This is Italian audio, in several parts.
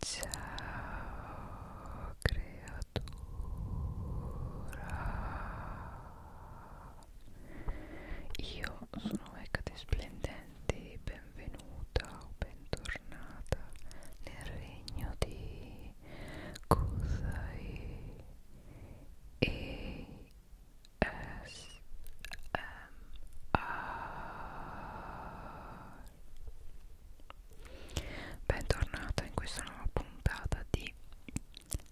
Ciao creatura Io sono Mecate Splendente benvenuta o bentornata nel regno di Kusai e S M A Bentornata in questa nuova puntata di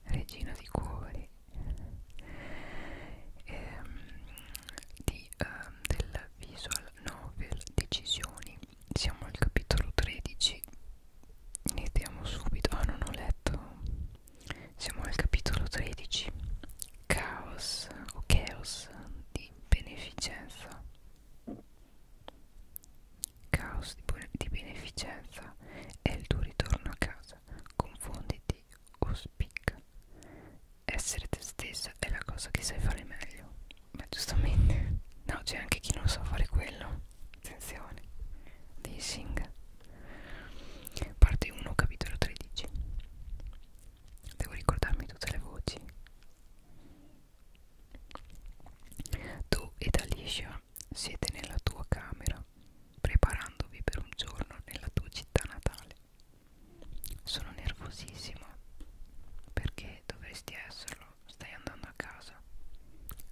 Regina di Cuori ehm, di, ehm, del Visual Novel Decisioni. Siamo al capitolo 13. Iniziamo subito. Ah, oh, non ho letto. Siamo al capitolo 13. Caos o Chaos di beneficenza Caos di, di beneficenza è il tuo ritorno a casa. Confonditi o spicca. Essere te stessa è la cosa che sai fare meglio. Ma giustamente, no, c'è anche chi non sa fare quello. Attenzione. Dissing. Parte 1, capitolo 13. Devo ricordarmi tutte le voci. Tu ed Alicia siete nella tua camera, preparandovi per un giorno nella tua città natale. Sono nervosissima. Perché dovresti esserlo? Stai andando a casa.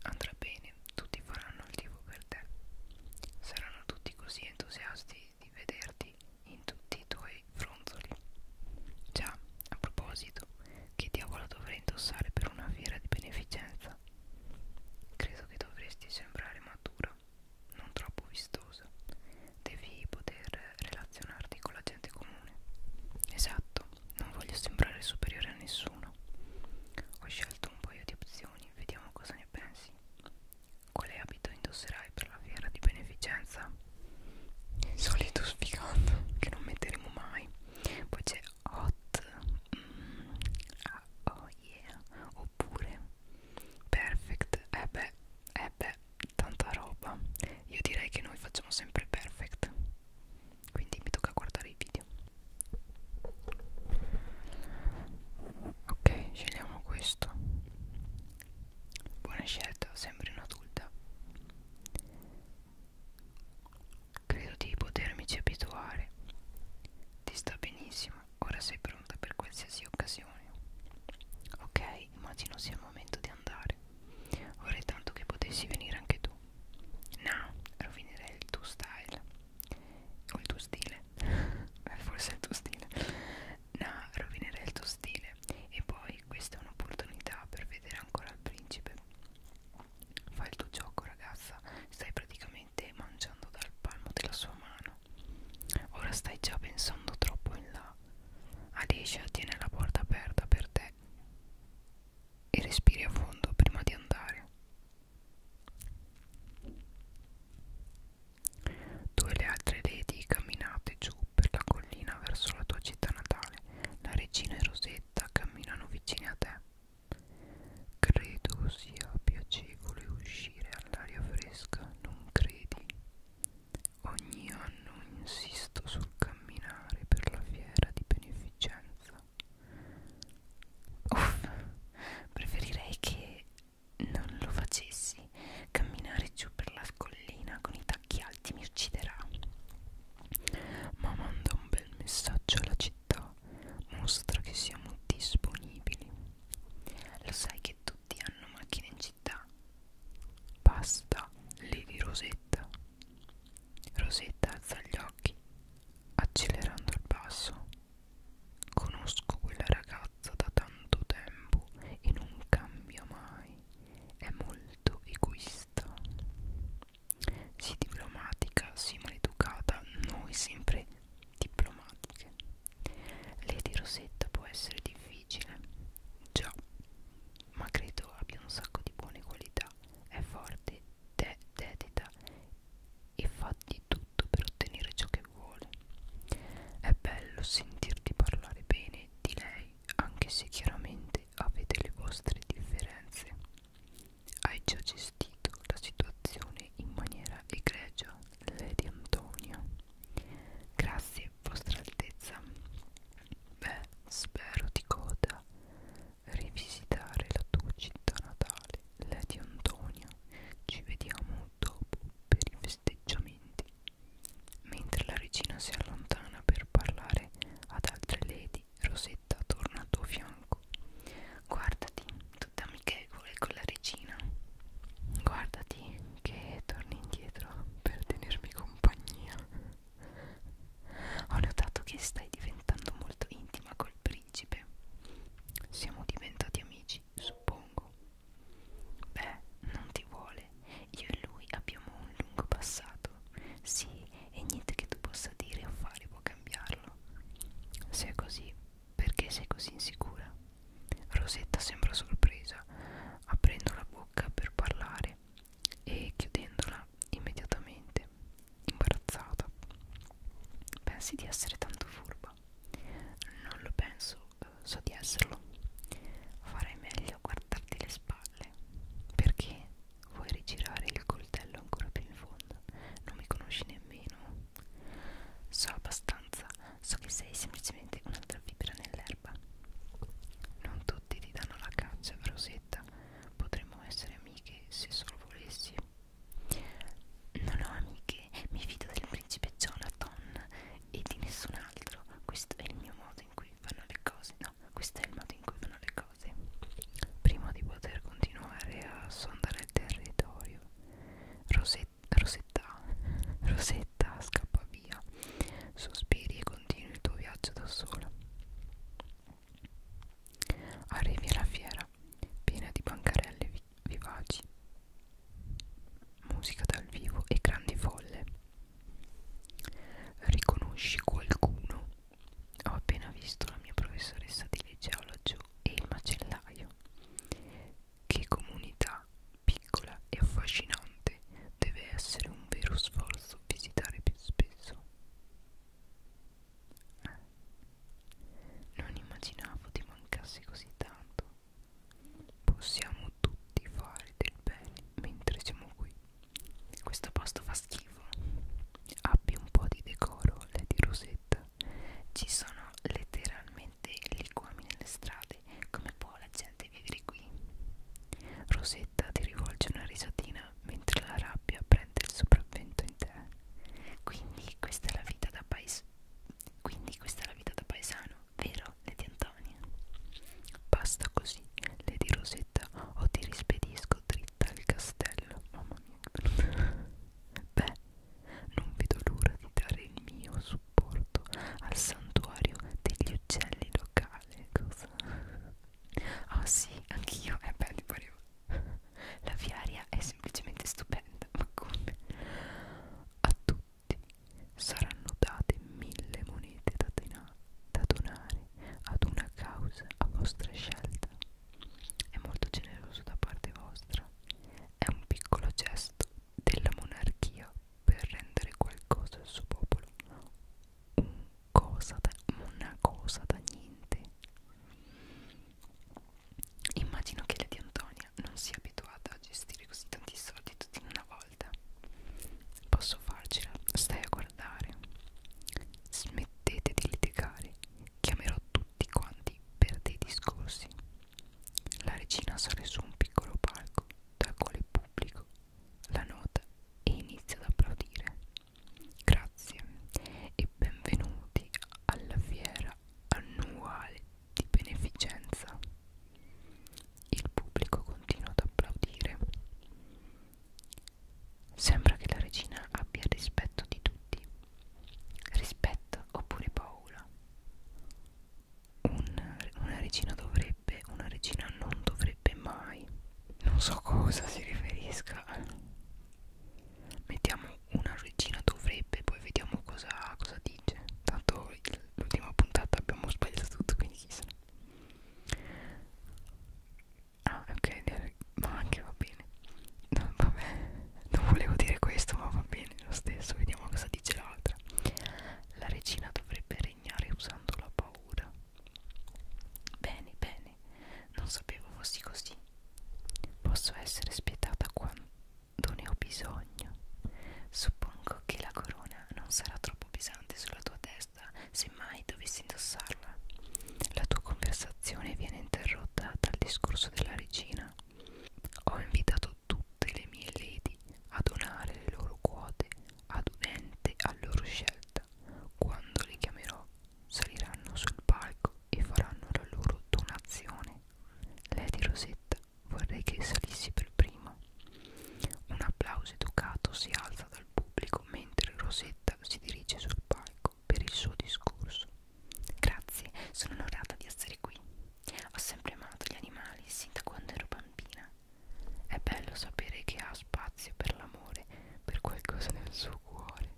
Andrà bene, tutti faranno il tifo per te. Saranno tutti così entusiasti di vederti in tutti i tuoi fronzoli. Già, a proposito, che diavolo dovrei indossare per una fiera di beneficenza? Credo che dovresti sembrare matura, non troppo vistosa. Devi poter relazionarti con la gente comune. Esatto, non voglio sembrare superiore a nessuno. Ho scelto un paio di opzioni, vediamo cosa ne pensi. Quale abito indosserai per la fiera di beneficenza? solito sfigato che non metteremo mai poi c'è hot mm, ah, oh yeah oppure perfect eh beh, eh beh tanta roba io direi che noi facciamo sempre perfect quindi mi tocca guardare i video ok scegliamo questo Buona scelta, sembri un'adulta. Credo di potermici abituare. Ti sta benissimo, ora sei pronta per qualsiasi occasione. Ok, immagino sia il momento di andare. Vorrei tanto che potessi venire anche tu. No, rovinerei il tuo style. O il tuo stile. Forse il tuo stile nah, rovinerei il tuo stile e poi questa è un'opportunità per vedere ancora il principe fai il tuo gioco ragazza stai praticamente mangiando dal palmo della sua mano ora stai già pensando troppo in là Alicia tiene la porta aperta per te e respiri a fondo prima di andare tu e le altre lady camminate giù per la collina verso la tua città natale. La regina e Rosetta camminano vicine a te. Credo sia piacevole uscire all'aria fresca, non credi? Ogni anno insisto sul camminare per la fiera di beneficenza. Uff, preferirei che non lo facessi mesi camminare giù per la scollina con i tacchi alti mi ucciderà ma manda un bel messaggio alla città mostra che siamo disponibili lo sai che tutti hanno macchine in città basta levi Rosetta Rosetta alza gli occhi accelerando il passo conosco quella ragazza ragazza da tanto tempo e non cambia mai, è molto egoista. Sì diplomatica, sì maleducata, noi sempre diplomatiche. Lady Rosetta può essere difficile, già, ma credo abbia un sacco di buone qualità, è forte, de dedita e fa di tutto per ottenere ciò che vuole. È bello sentirti parlare bene di lei anche se chiaramente avete le vostre differenze. Hai già gestito la situazione in maniera egregia, Lady Antonia. Grazie, vostra altezza. Beh, spero di coda rivisitare la tua città natale, Lady Antonia. Ci vediamo dopo per i festeggiamenti. Mentre la regina si allontana per parlare ad altre lady, Rosetta torna al tuo fianco. Guardati, tutta amichevole con la regina. Guardati che torni indietro per tenermi compagnia. Ho notato che stai diventando molto intima col principe. Siamo diventati amici, suppongo. Beh, non ti vuole. Io e lui abbiamo un lungo passato. Sì, e niente che tu possa dire o fare può cambiarlo. Se è così, perché sei così insicura? Rosetta sembra sorpresa, aprendo la bocca per parlare e chiudendola immediatamente, imbarazzata. Pensi di essere tanto furba? Non lo penso so di esserlo farei meglio a guardarti le spalle perché vuoi rigirare il coltello ancora più in fondo non mi conosci nemmeno so abbastanza so che sei semplicemente un'altra fibra nell'erba non tutti ti danno la caccia Rosetta potremmo essere amiche se solo volessi non ho amiche mi fido del principe Jonathan e di nessun altro. Questo è il mio modo in cui vanno le cose. No, questo è il modo in cui vanno le cose. Prima di poter continuare a sondare il territorio, Rosetta Rosetta, Rosetta scappa via. Sospiri e continui il tuo viaggio da sola. Arrivi alla fiera, piena di bancarelle vivaci musica dal vivo e grandi folle. Riconosci qualcuno? Ho appena visto la mia professoressa di legge alogio e il macellaio. Che comunità piccola e affascinante deve essere un vero sforzo visitare più spesso. Eh. Non immaginavo ti mancassi così tanto. Possiamo tutti fare del bene mentre siamo qui. Questo posto fa schifo. Abbi un po' di decoro, Lady Rosetta. Ci sono letteralmente liquami nelle strade. Come può la gente vivere qui? Rosetta ti rivolge una risatina mentre la rabbia prende il sopravvento in te. Quindi questa è la vita da paese quindi questa è la vita da paesano, vero Lady Antonia? Basta così, Lady Rosetta, o ti rispedisco dritta al castello. Mamma mia. Beh, non vedo l'ora di dare il mio supporto al santuario degli uccelli locale. Cosa? Ah oh, sì, anch'io. Eh beh, ti parevo. La fiaria è semplicemente stupenda, ma come? A tutti tutti saranno date mille monete da, da donare ad una causa a vostra scelta. È molto generoso da parte vostra. È un piccolo gesto della monarchia per rendere qualcosa al suo popolo. Un cosa da, una cosa da niente. Immagino che Lady Antonia non sia abituata a gestire così tanti soldi tutti in una volta. Posso farcela, stai a guardare. Smettete di litigare, chiamerò tutti quanti per dei discorsi. La regina sale su un piccolo palco, tacole il pubblico, la nota e inizia ad applaudire. Grazie e benvenuti alla fiera annuale di beneficenza. Il pubblico continua ad applaudire. Sembra che la regina abbia rispetto di tutti. Rispetto oppure paura. Un, una regina dovrebbe, una regina non dovrebbe mai. Non so cosa si riferisca. Mettiamo una regina dovrebbe, poi vediamo cosa, cosa radice tanto l'ultima puntata abbiamo sbagliato tutto quindi chissà ah ok ma anche va bene no, vabbè non volevo dire questo ma va bene lo stesso vediamo cosa dice l'altra la regina dovrebbe regnare usando la paura bene bene non sapevo fossi così posso essere spietata quando non ne ho bisogno. Suppongo che la corona non sarà troppo pesante sulla tua testa se mai dovessi indossarla. La tua conversazione viene interrotta dal discorso della regina. Ho invitato tutte le mie lady a donare le loro quote ad un ente a loro scelta. Quando le chiamerò, saliranno sul palco e faranno la loro donazione. Lady Rosetta Vorrei che salissi per primo. Un applauso educato si alza dal pubblico mentre Rosetta si dirige sul palco per il suo discorso. Grazie, sono onorata di essere qui. Ho sempre amato gli animali sin da quando ero bambina. È bello sapere che ha spazio per l'amore, per qualcosa nel suo cuore.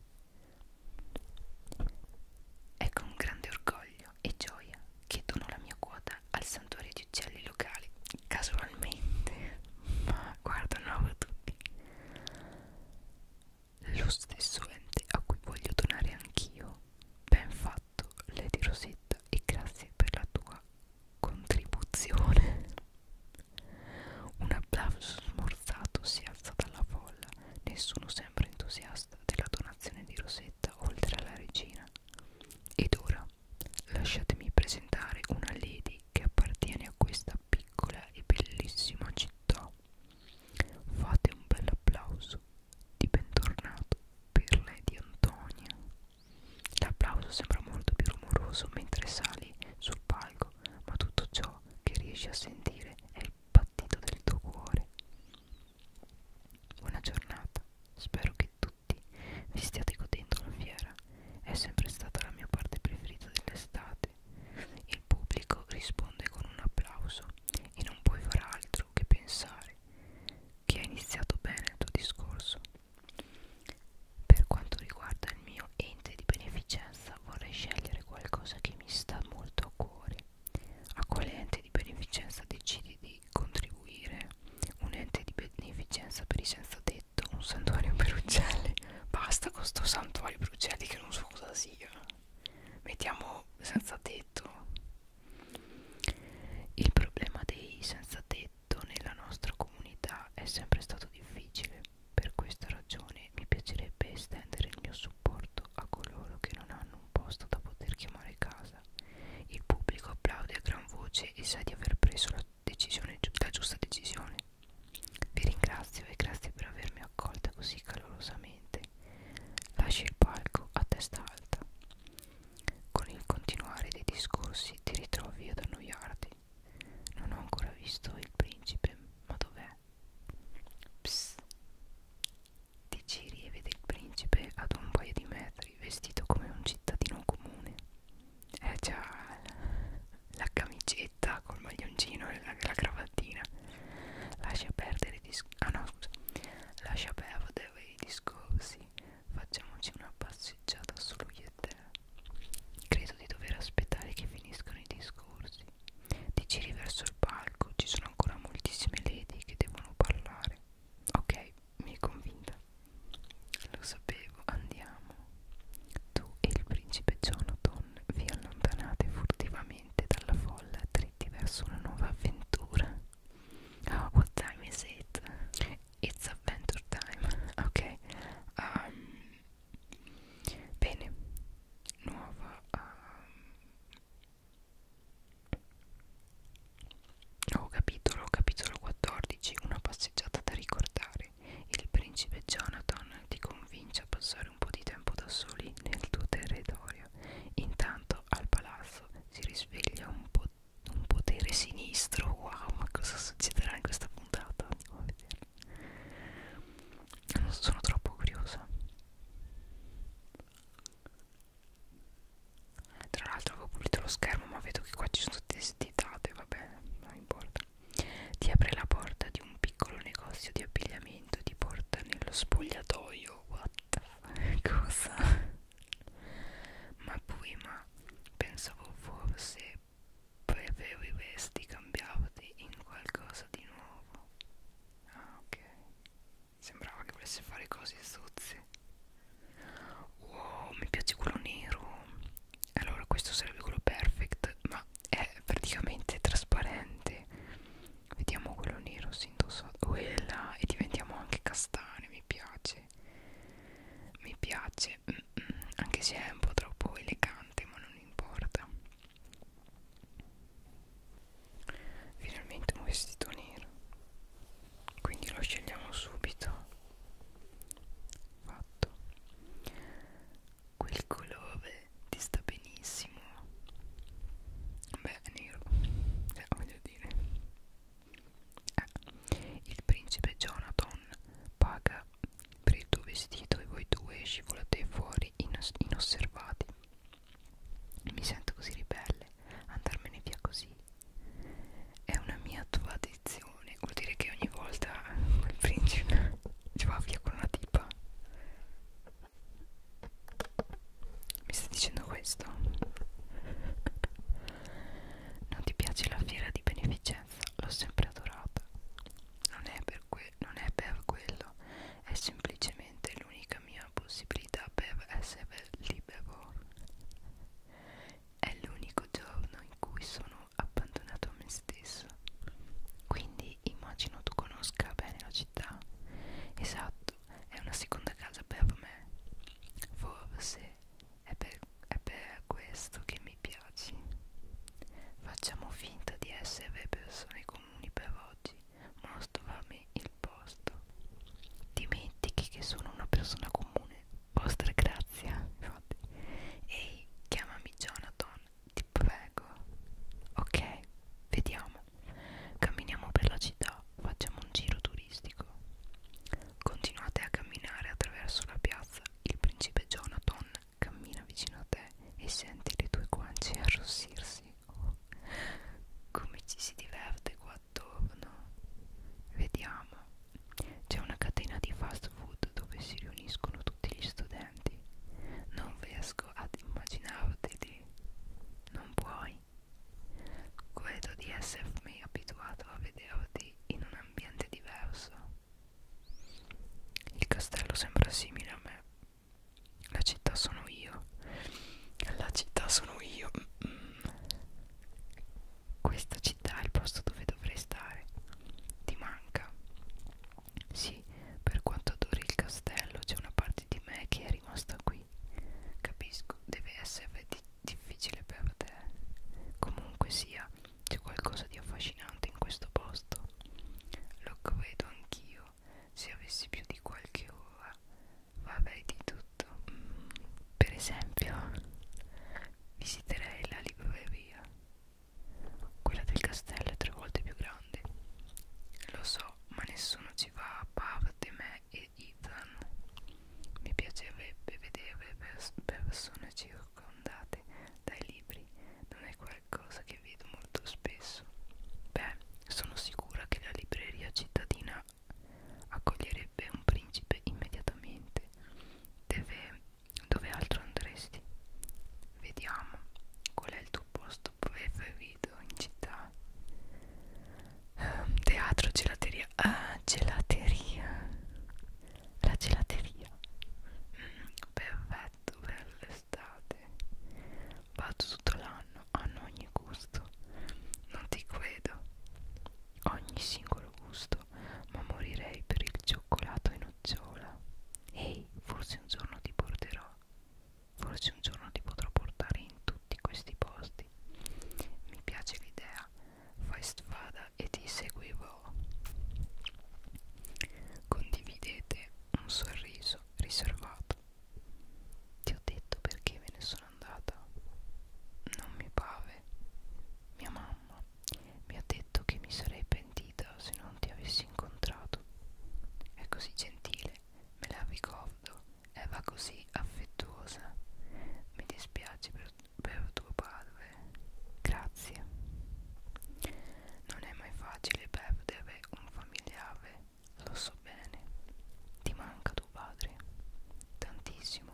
È con grande orgoglio e gioia che dono la mia quota al santuario di uccelli locali casualmente ma guardano avevo tutti lo stesso ente a cui voglio donare anch'io ben fatto Lady Rosetta e grazie per la tua contribuzione un applauso smorzato si alza dalla folla nessuno sembra entusiasta della donazione di Rosetta oltre alla regina mattina. Ed ora lasciatemi presentare una lady che appartiene a questa piccola e bellissima città. Fate un bel applauso di bentornato per Lady Antonia. L'applauso sembra molto più rumoroso mentre sali sul palco, ma tutto ciò che riesci a sentire è il battito del tuo cuore. Buona giornata, spero che tutti vi stiate godendo la fiera, è sempre stata la mia parte preferita dell'estate. Il pubblico risponde con un applauso e non puoi far altro che pensare che ha iniziato bene il tuo discorso. Per quanto riguarda il mio ente di beneficenza vorrei scegliere qualcosa che mi sta molto a cuore. A quale ente di beneficenza decidi di cui contribuire, un ente di beneficenza per i senza tetto, un santuario per uccelli. Basta con sto santuario per uccelli che non so cosa sia. Mettiamo senza tetto. Il problema dei senza tetto nella nostra comunità è sempre stato difficile. Per questa ragione mi piacerebbe estendere il mio supporto a coloro che non hanno un posto da poter chiamare casa casa. Il pubblico applaude a gran voce e sa di aver preso la, decisione, la giusta decisione. Vi ringrazio e grazie per avermi accolta così calorosamente. Lasci il palco a testa alta. Con il continuare dei discorsi ti ritrovi ad annoiarti. Non ho ancora visto il principe, ma dov'è? Psst di Ciri e vede il principe ad un paio di metri vestito come un cittadino comune eh già la camicetta col maglioncino e la, la cravattina lascia perdere i ah no scusa lascia perdere i discorsi facciamoci una passeggiata solo io e te credo di dover aspettare che finiscano i discorsi ti giri verso il palco ci sono ancora moltissime lady che devono parlare Ok, mi hai convinta. Lo sapevo, andiamo. Tu e il principe Jonathan vi allontanate furtivamente dalla folla dritti verso una nuova avventura. Oh, what time is it? It's adventure time. Ok. Um, bene. Nuova... Um, Oh, capitolo, capitolo 14 Una passeggiata da ricordare Il principe Jonathan ti convince a passare un po' di tempo da soli nel tuo territorio Intanto al palazzo si risveglia un, po un potere sinistro Wow, ma cosa succederà in questa puntata? Andiamo a vedere Sono troppo curiosa tra l'altro avevo pulito lo schermo ma vedo che qua ci sono tutte stitate, vabbè, non importa. Ti apre la porta di un piccolo negozio di abbigliamento, ti porta nello spogliatoio, what? Cosa? Ma prima pensavo forse preferiresti cambiarti in qualcosa di nuovo. Ah, ok. Sembrava che volesse fare cose zozze. Wow, mi piace quello nero. Allora, questo sarebbe quello perfect, ma è praticamente trasparente. Vediamo quello nero, si indossa quella e diventiamo anche castani, mi piace. Mi piace, mm -mm, anche se è un po' troppo elegante, ma non importa. Finalmente un vestito nero. Quindi lo scegliamo subito. Fatto. Quel colore ti sta benissimo. Beh, nero. Eh, voglio dire. Eh. Il principe Jonathan paga per il tuo vestito e voi due scivolate fuori inos inosservati. Mi sento così ribelle andarmene via così. È una mia tua addizione. Vuol dire che ogni volta il principe ci va via con una tipa. Mi stai dicendo questo? Non ti piace la fiera di beneficenza? L'ho sempre adorata. Non è per, que non è per quello, è semplicemente l'unica l'unica mia possibilità per essere libero. È l'unico giorno in cui sono abbandonato a me stesso. Quindi immagino tu conosca bene la città. Esatto, è una seconda casa per me. Forse è per, è per questo che mi piaci. Facciamo finta di essere persone comuni per oggi. Mostrami il del posto dimentichi che sono una persona comune vostra grazia infatti ehi chiamami Jonathan ti prego ok vediamo camminiamo per la città facciamo un giro turistico continuate a camminare attraverso la piazza il principe Jonathan cammina vicino a te e senti le tue guance arrossirsi Oh, come ci si diverte qua attorno. Vediamo. C'è una catena di fast food dove si riuniscono tutti gli studenti. Non riesco ad immaginarteli. Non puoi. Credo di essermi abituato a vederti in un ambiente diverso. Il castello sembra simile a me, la città sono io. La città sono io. Mm, mm. Questa città è il posto dove dovrei stare. Ti manca. Sì, per quanto adori il castello, c'è una parte di me che è rimasta qui. Capisco, deve essere di difficile per te. Comunque sia, c'è qualcosa di affascinante in questo posto. Lo credo anch'io. Se avessi più di qualche ora vabbè di tutto mm, per esempio visiterei la libreria quella del castello è tre volte più grande lo so ma nessuno ci va a parte me e Ethan mi piacerebbe vedere pers persone circondate dai libri non è qualcosa che vedo molto spesso adesso? Beh, sono sicura che la libreria cittadina accoglierebbe un principe immediatamente. Deve, dove altro andresti? Vediamo, qual è il tuo posto preferito in città? Ehm, teatro, gelateria. Ah, gelateria. La gelateria. Mm, perfetto per l'estate. Vado tutto l'anno, hanno ogni gusto. Non ti credo, ogni singolo gusto, ma morirei per il cioccolato e nocciola. Ehi, forse un giorno ti porterò, forse un giorno ti potrò portare in tutti questi posti. Mi piace l'idea, fai strada e ti seguirò. Condividete un sorriso riservato ti ho detto perché me ne sono andata. Non mi pave. Mia mamma mi ha detto che mi sarei pentita se non ti avessi incontrato. È così gentile, me la ricordo, e va così affettuosa. Mi dispiace per, per tuo padre. Grazie. Non è mai facile perdere un familiare lo so bene, ti manca tuo padre tantissimo.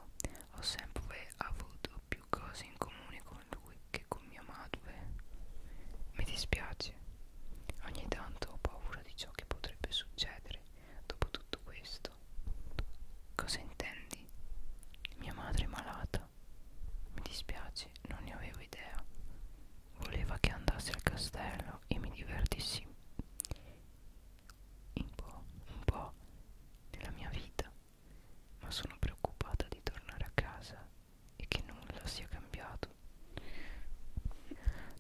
Ho sempre avuto più cose in comune con lui che con mia madre. Mi dispiace. Ogni tanto ho paura di ciò che potrebbe succedere dopo tutto questo. Cosa intendi? Mia madre è malata. Mi dispiace, non ne avevo idea. Voleva che andassi al castello io e mi divertissi un po', un po' nella mia vita, ma sono preoccupata di tornare a casa e che nulla sia cambiato.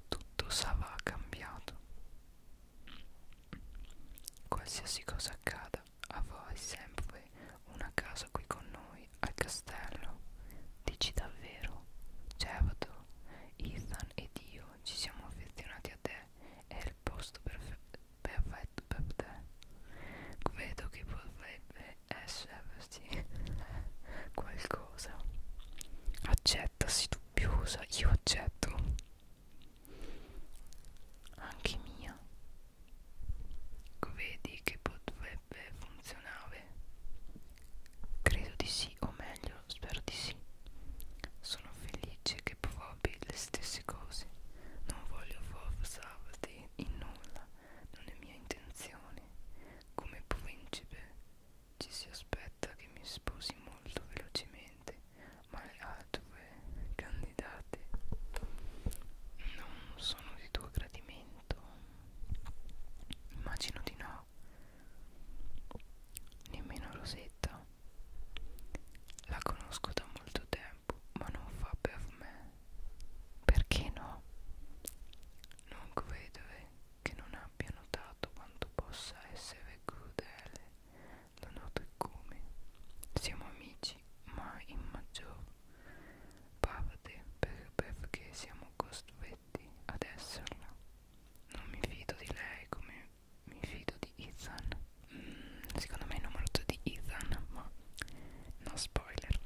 Tutto sarà cambiato. Qualsiasi cosa accada, avrai sempre una casa qui con noi al castello. Dici davvero? Certo, Ethan ed io ci siamo affezionati a te, è il posto perfe perfetto per te. Vedo che potrebbe esserci qualcosa. Accetta, si dubbiosa, io accetto. Anche mia. Vedi che potrebbe funzionare nave? Credo di sì, o meglio, spero di sì. Sono felice che provi le stesse cose. Non voglio forzarti in nulla, non è mia intenzione. Come principe ci si aspetta che mi sposi molto velocemente, ma le altre candidate non sono di tuo gradimento. Immagino di no nemmeno Rosetta. La conosco da molto tempo, ma non fa per me. Perché no? Non credere eh, che non abbia notato quanto possa essere crudele da notte come. Siamo amici, ma in maggior parte per, perché siamo costretti ad esserla non mi fido di lei come mi fido di Ethan mm, secondo me è numeroso di Ethan ma no spoiler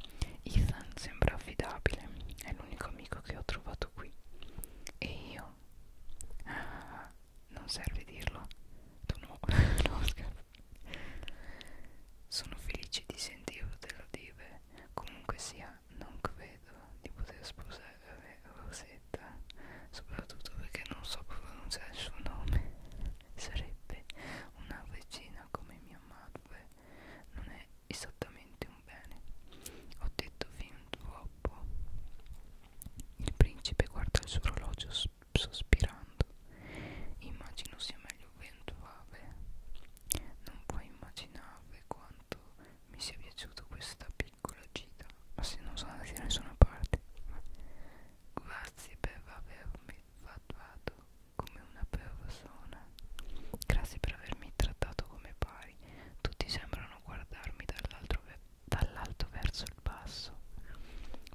Ethan sembra affidabile è l'unico amico che ho trovato qui e io ah, non serve dirlo tu no, no scherzo sono felice di sentirtelo dire comunque sia non credo di poter sposare Rosetta, soprattutto perché non so pronunciare il suo nome. Sarebbe una regina come mia madre, non è esattamente un bene. Ho detto fin troppo. Il principe guarda il suo orologio sospirando. Immagino sia meglio ventuave. Non puoi immaginare quanto mi sia piaciuta questa piccola gita ma se non sono andati da nessuna parte grazie per avermi trattato come una persona grazie per avermi trattato come pari tutti sembrano guardarmi dall'alto ve dall verso il basso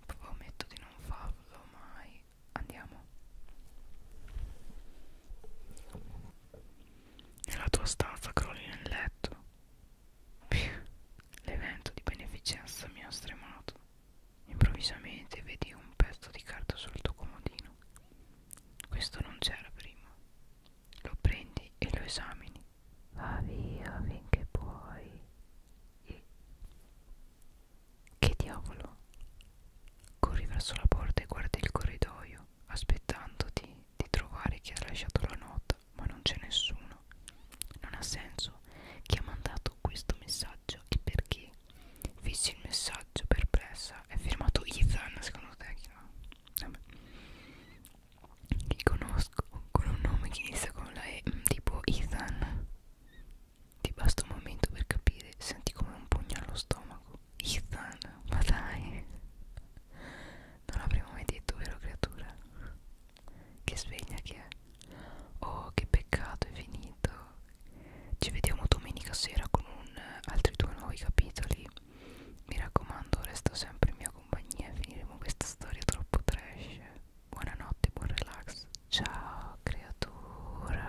prometto di non farlo mai andiamo nella tua stanza crolli nel letto. L'evento di beneficenza mi ha stremato. Improvvisamente vedi un pezzo di carta sul tuo comodino. Questo non c'era prima. Lo prendi e lo esamini. Va via finché puoi. E... Che diavolo? Corri verso la porta e guardi il corridoio aspettandoti di trovare chi ha lasciato la nota, ma non c'è nessuno. Non ha senso chi ha mandato questo messaggio e perché. Fissi il messaggio perplessa. È firmato Ethan, secondo te? Chi, no? Vabbè. chi conosco con un nome che inizia con la E, mm, tipo Ethan. Ti basta un momento per capire, senti come un pugno allo stomaco. Ethan, ma dai Non l'avremmo mai detto, vero creatura? Che sveglia che è Oh, che peccato, è finito Ci vediamo domenica sera con un, altri due nuovi capitoli Mi raccomando, resta sempre in mia compagnia e finiremo questa storia troppo trash Buonanotte, buon relax Ciao creatura